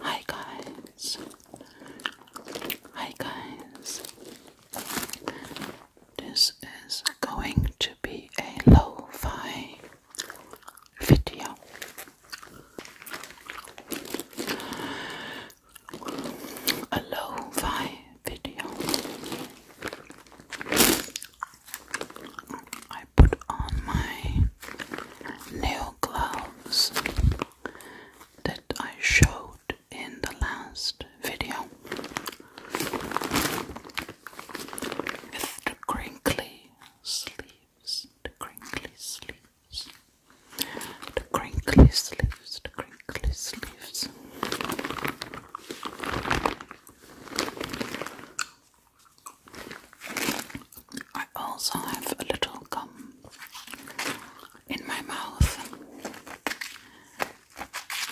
Hi guys. Hi guys. This is going to be a lo-fi video. A lo-fi video. I put on my nail gloves that I showed in the last video with the crinkly sleeves, the crinkly sleeves, the crinkly sleeves, the crinkly sleeves. I also have a little gum in my mouth,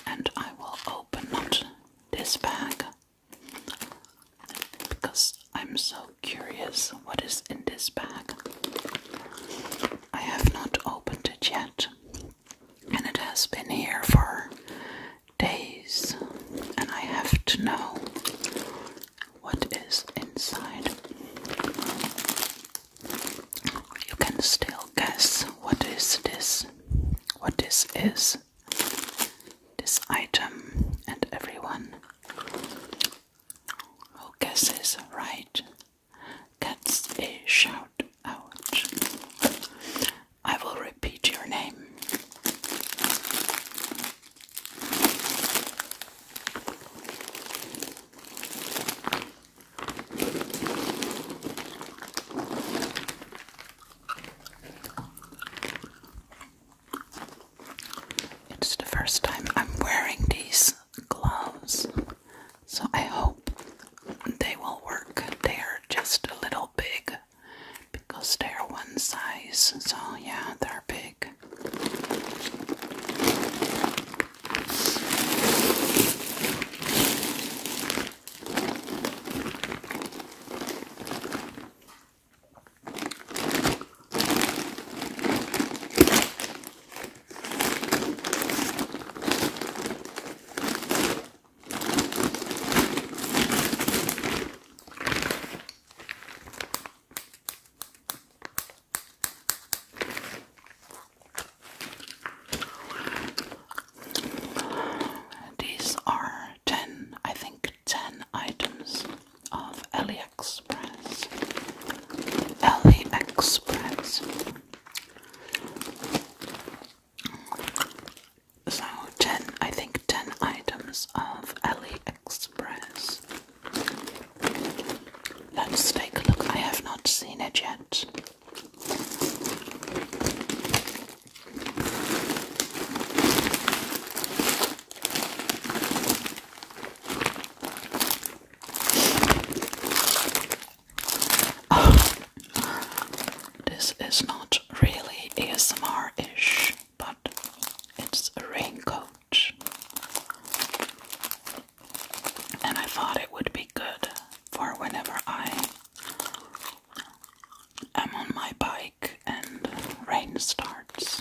and I will open not this bag because I'm so curious what is in this bag. I have not opened it yet, and it has been here for days, and I have to know what is inside. You can still guess what is this, what this is, this item, and everyone who guesses right gets a shout out. I will repeat your name. It's the first time I'm wearing these gloves, so I hope they will work. They are just a little big, because they're one size, so yeah, they're big. These are 10, I think 10 items of AliExpress. AliExpress. So, 10, I think 10 items of AliExpress. Let's take a look. I have not seen it yet. Oh, this is not really ASMR ish, but it's a raincoat. And I thought it would be good for whenever I am on my bike and rain starts.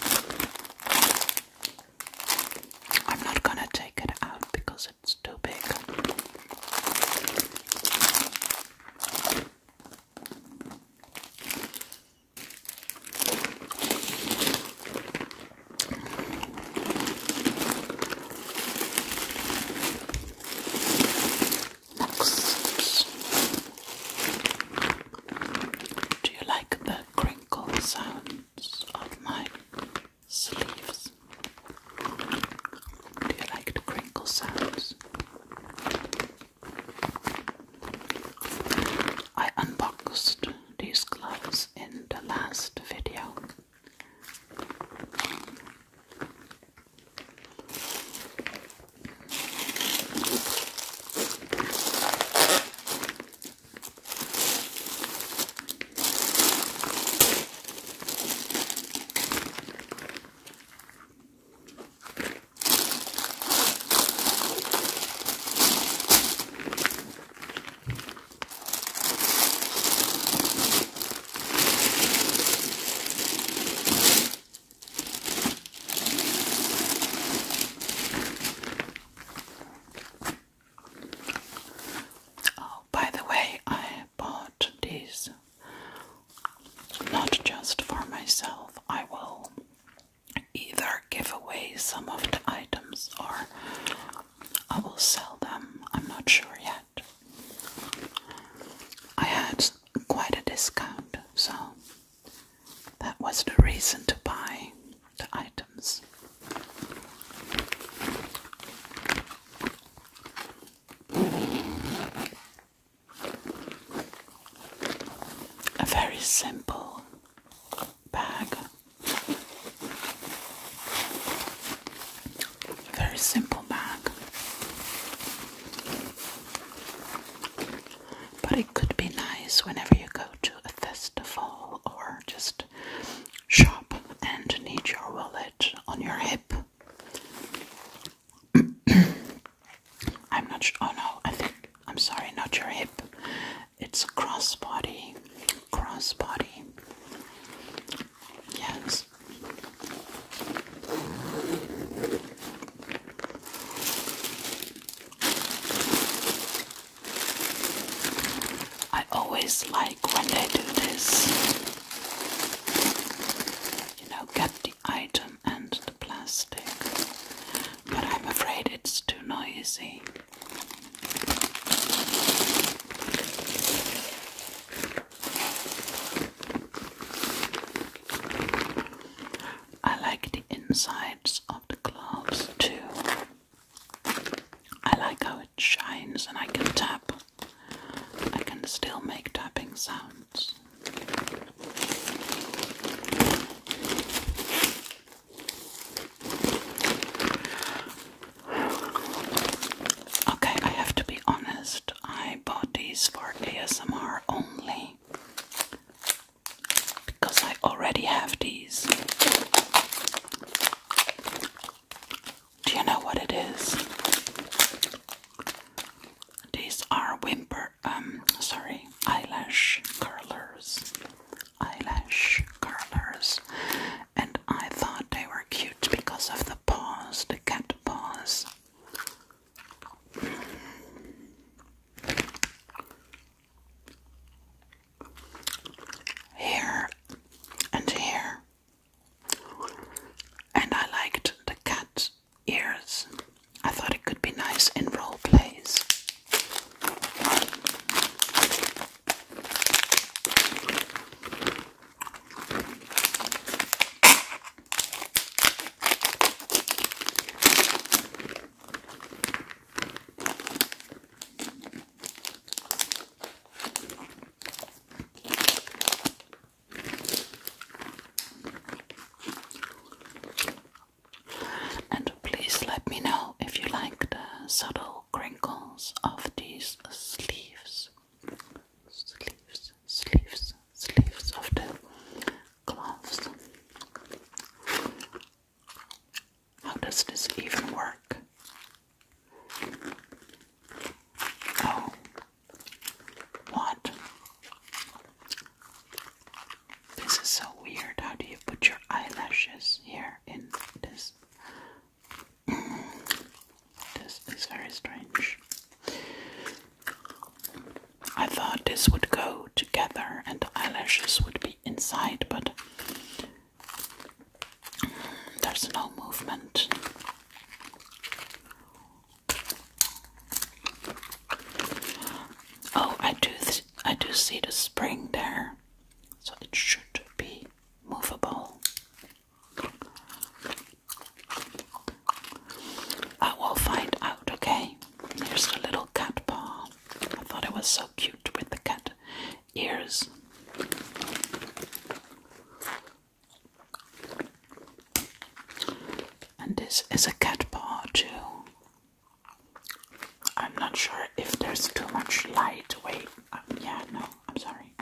I'm not gonna take it out because it's too big. Do you like the crinkle sounds of my sleeves? Do you like the crinkle sounds? I unboxed these gloves in the last video. Oh, by the way, I bought this not just for myself. I will either give away some of the items or I will sell them. I'm not sure yet. I had quite a discount, so that was the reason to buy the items. A very simple bag, very simple bag, but it could be nice whenever you go to a festival or just shop and need your wallet on your hip. I'm not sure. Oh no, I think. I'm sorry, not your hip. It's a crossbody. Crossbody. Yes. I always like when they do this. You know, get the item and the plastic, but I'm afraid it's too noisy. I like the insides of the gloves too. I like how it shines and I can tap I can still make tapping sounds. Okay, I have to be honest, I bought these for ASMR only because I already have these. Do you know what it is? These are whimper, um, sorry, eyelash curlers. Eyelash curlers. And I thought they were cute because of the paws, the cat paws. Here and here and I liked the cat ears. I thought it could be nice in role plays. And please let me know if you like the subtle crinkles of these sleeves. Sleeves, sleeves, sleeves of the gloves. How does this even work? Oh. What? This is so weird. How do you put your eyelashes here in this? this is very strange. I thought this would go together and eyelashes would be inside, but there's no movement. Oh, I do. I do see the spring there, so it should be movable. I will find out. Okay. Here's the little cat paw. I thought it was so cute with the cat ears. And this is a cat paw too. I'm not sure if there's too much light. Wait, um, yeah, no, I'm sorry.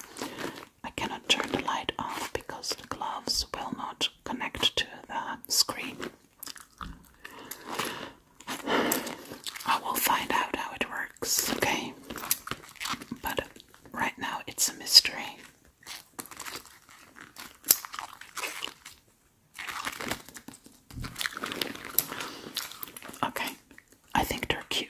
I cannot turn the light off because the gloves will not connect to the screen. I will find out how it works, okay? But right now it's a mystery. Okay, I think they're cute.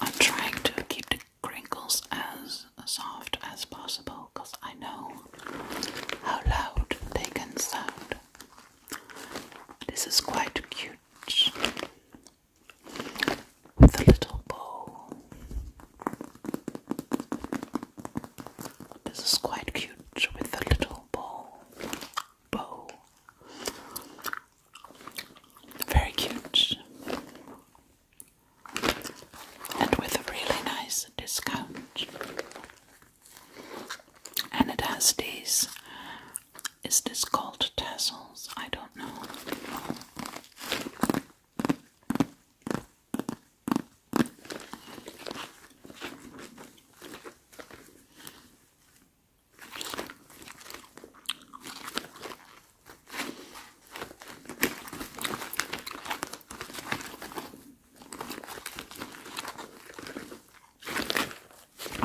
I'm trying to keep the crinkles as soft as possible because I know how loud they can sound. This is quite cute with a little bow. This is quite cute with a little bow bow. Very cute. And with a really nice discount. And it has these is this called tassels? I don't know.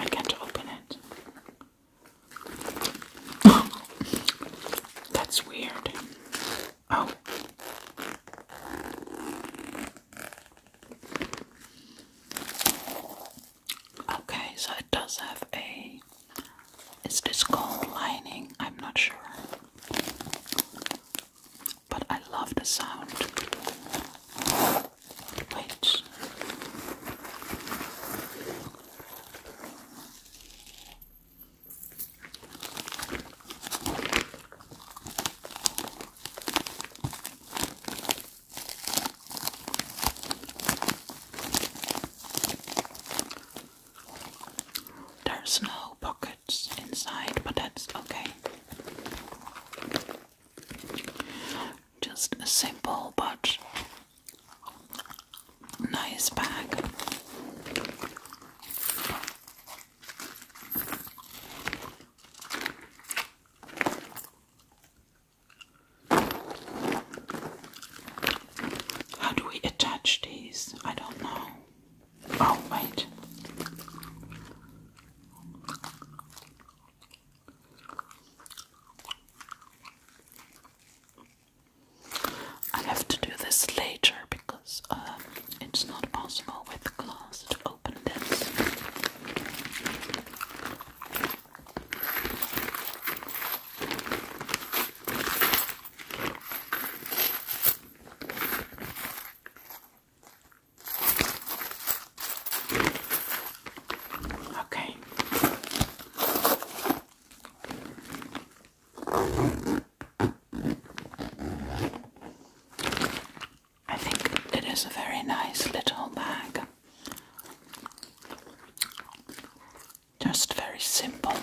I can't open it. That's weird. Oh. Okay, so it does have a. Is this gold lining? I'm not sure. But I love the sound. Wait. There's no pockets inside, but that's okay. Just a simple but nice bag. How do we attach these? I don't know. Oh, wait. I have to do this later because um, it's not possible with glass open this. Okay. I think it is a very nice little bag. Just very simple.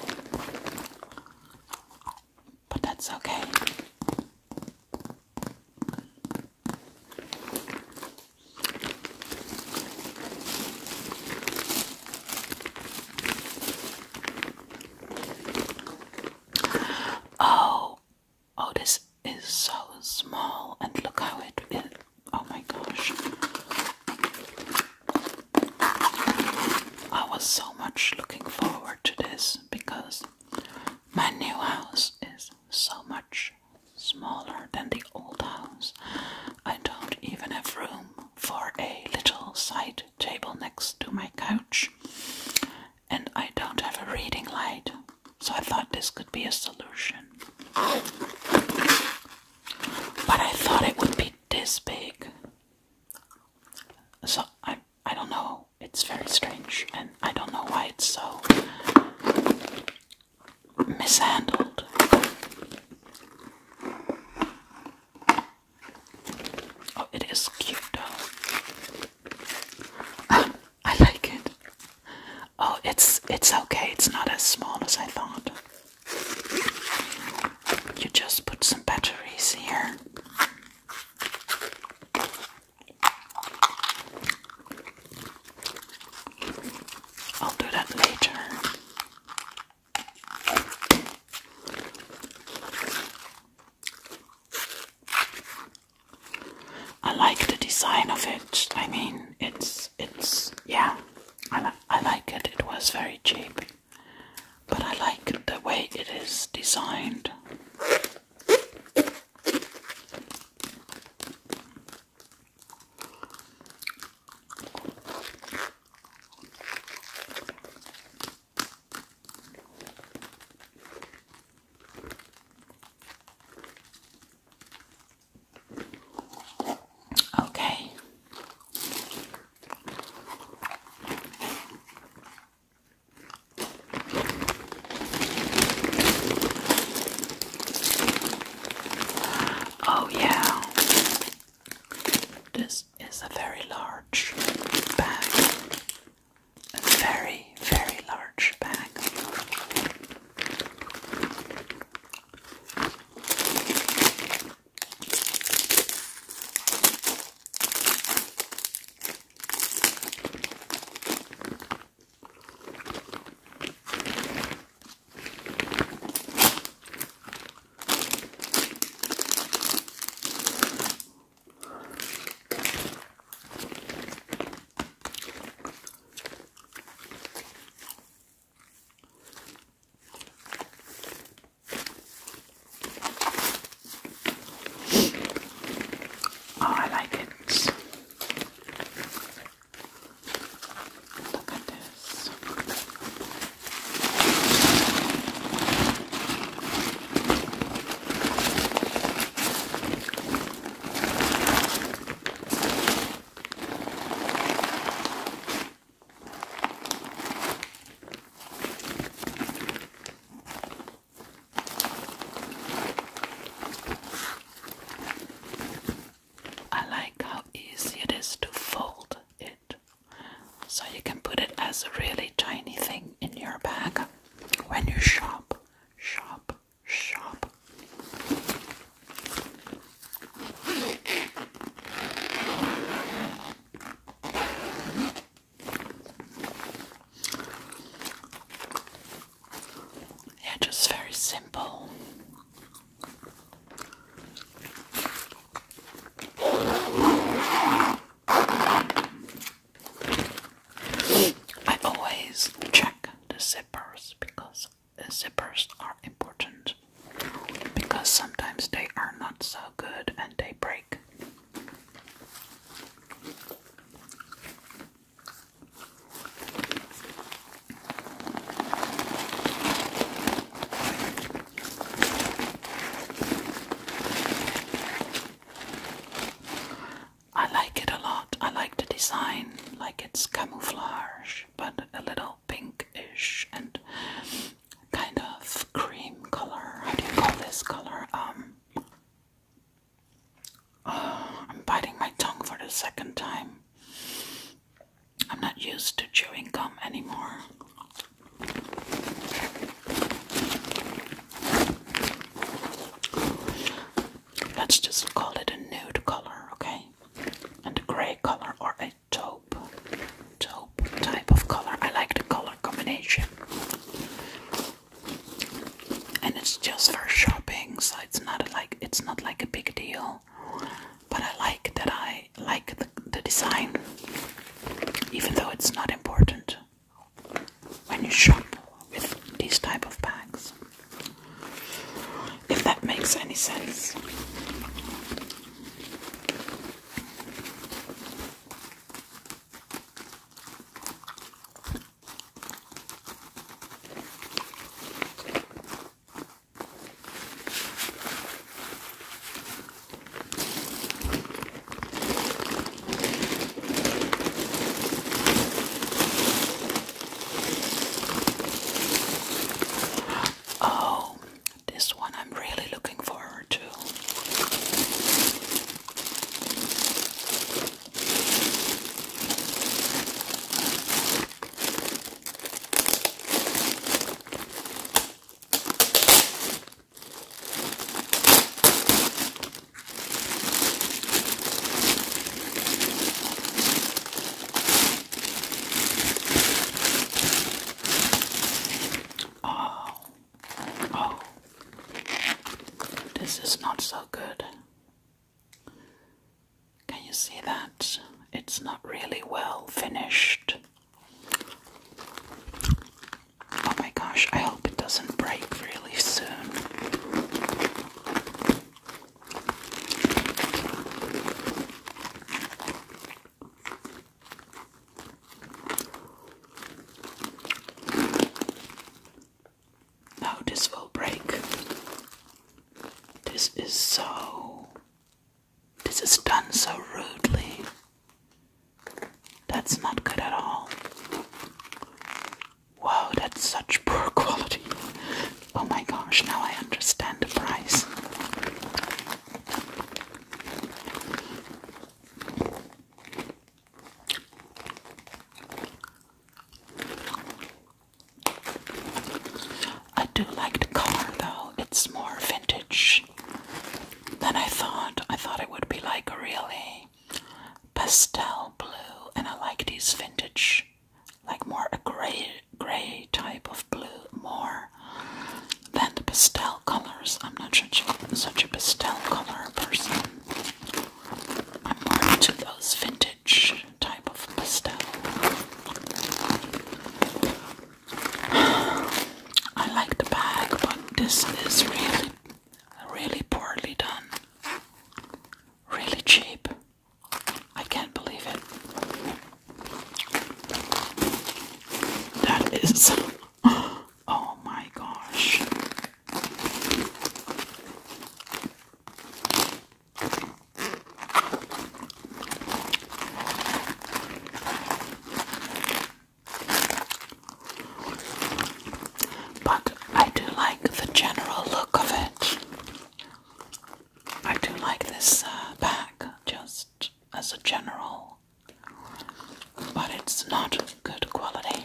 But that's okay. Oh, Oh, this is so small, and look how it is. Oh my gosh. I was so much looking forward to this because my new house is so much smaller than the old house. I don't even have room for a little side table next to my couch and I don't have a reading light, so I thought this could be a solution. But I thought it would be this big. So I I don't know. It's very strange and I don't know why it's so mishandled. Oh, it is cute though. I like it. Oh, it's it's okay. It's not as small as I thought. You just put some batteries here. I'll do that later. I like the design of it. I mean, it's it's yeah. I I like it. It was very cheap, but I like the way it is designed. Okay. Oh, yeah, this is a very large bag a very, very large bag. Oh, I like it. Look at this. I like how easy it is to fold it. So you can put it as a really tiny thing in your bag when you shop shop, shop. Yeah, just very simple. I always check the zippers because the zippers are important because sometimes they are not so good and they break. I like it a lot. I like the design, like it's camouflage, but a little pinkish and kind of cream color. How do you call this color? Um, uh, I'm biting my tongue for the second time. I'm not used to chewing gum anymore. Let's just call it a nude color, okay? And a grey color or a taupe, taupe type of color. I like the color combination. And it's just for shopping, so it's not like it's not like a big deal. But I like that I like the, the design, even though it's not important when you shop with these type of bags. If that makes any sense. Oh, this one I'm really looking forward to. Oh, oh, this is not so good. Can you see that? It's not really well finished. Oh my gosh, I hope it doesn't break really soon. No, this will break. This is so. This is done so rudely. That's not good at all. Wow, that's such poor quality. Oh my gosh, now I understand the price. I do like the car though, it's more vintage then I thought. I thought it would be like really pastel blue, and I like these vintage, like more a gray, gray type of blue more than the pastel colors. I'm not such a, such a pastel color person. I'm more into those vintage type of pastel. I like the bag, but this is really Really poorly done. Really cheap. I can't believe it. That is. Oh my gosh. But I do like the general look of it. I do like this uh, bag just as a general, but it's not good quality.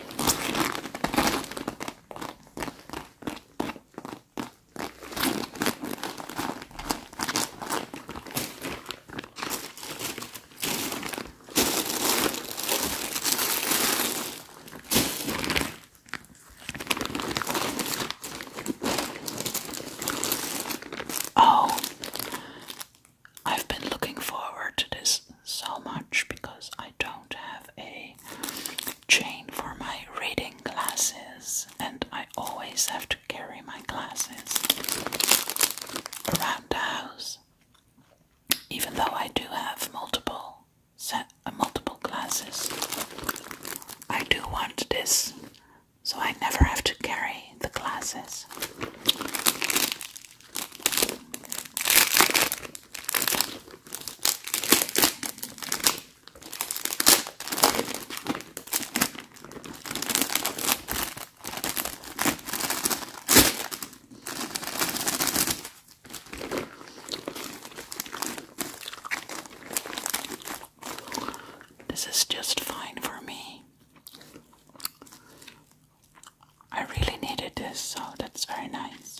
Oh, I've been looking forward to this so much because I don't have a chain for my reading glasses, and I always have to carry my glasses around the house even though I do have multiple set uh, multiple glasses, I do want this so I never have to carry the glasses. This is just fine for me. I really needed this, so that's very nice.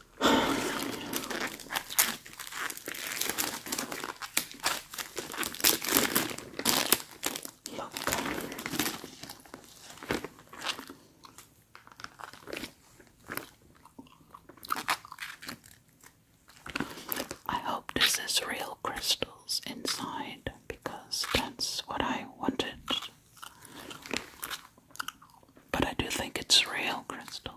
I hope this is real crystals inside because that's what I wanted but I do think it's real crystal.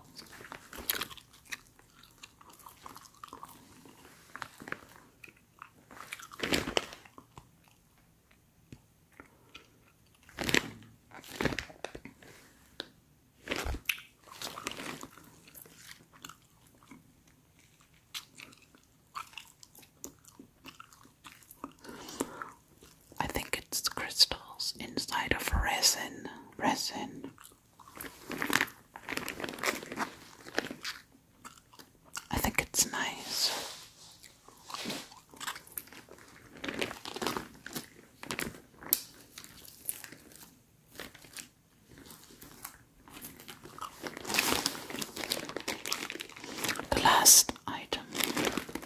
I think it's crystals inside of resin. Resin. I think it's nice. The last item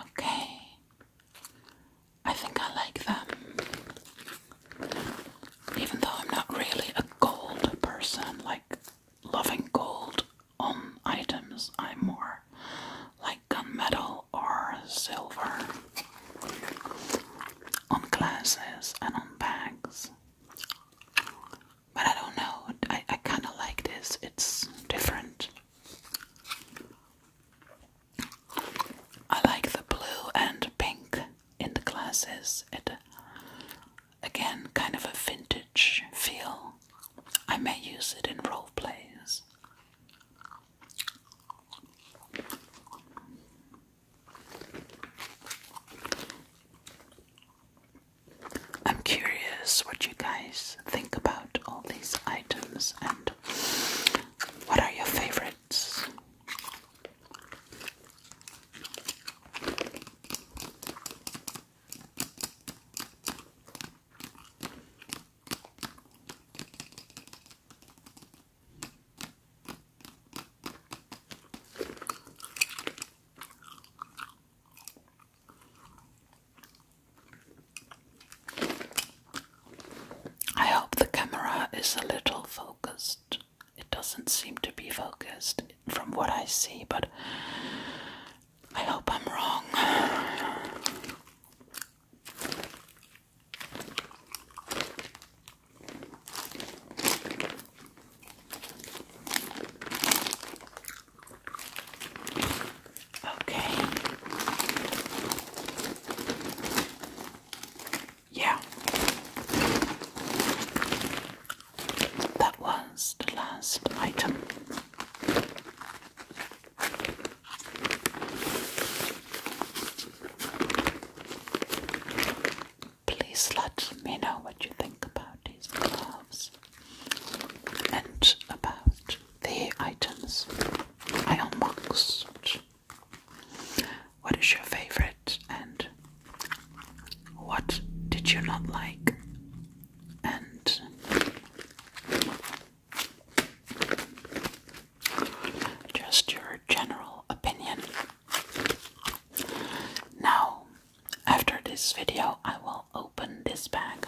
Okay, I think I like them, even though I'm not really a gold person, like loving gold on um, items. I'm more like gunmetal or silver on glasses and on bags. But I don't know, I, I kind of like this, it's different. I like the blue and pink in the glasses. It again kind of a vintage feel. I may use it in role plays. I'm curious what you guys think about all these items and what are your favorites? I hope the camera is a little focused. It doesn't seem to be focused from what I see, but I hope I'm wrong. Okay. Yeah. That was the last item. Please let me know what you think about these gloves and about the items I unboxed. What is your favorite and what did you not like? And just your general opinion. Now, after this video, I will open this bag.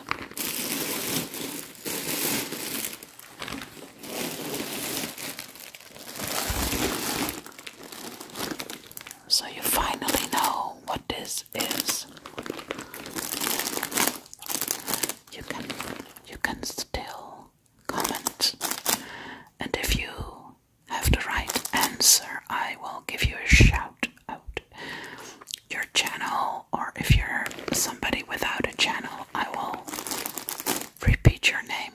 So you finally know what this is. You can you can still comment. And if you have the right answer, I will give you a shout out. Your channel, or if you're somebody without a channel, I will repeat your name.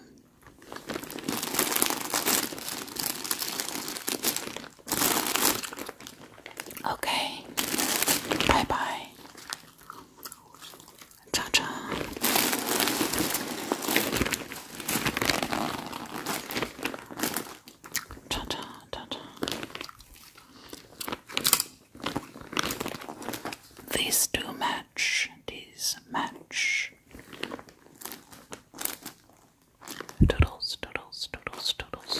Okay, bye bye. Cha cha. Cha cha, cha cha. These do match, these match. Doodles, doodles, doodles, doodles.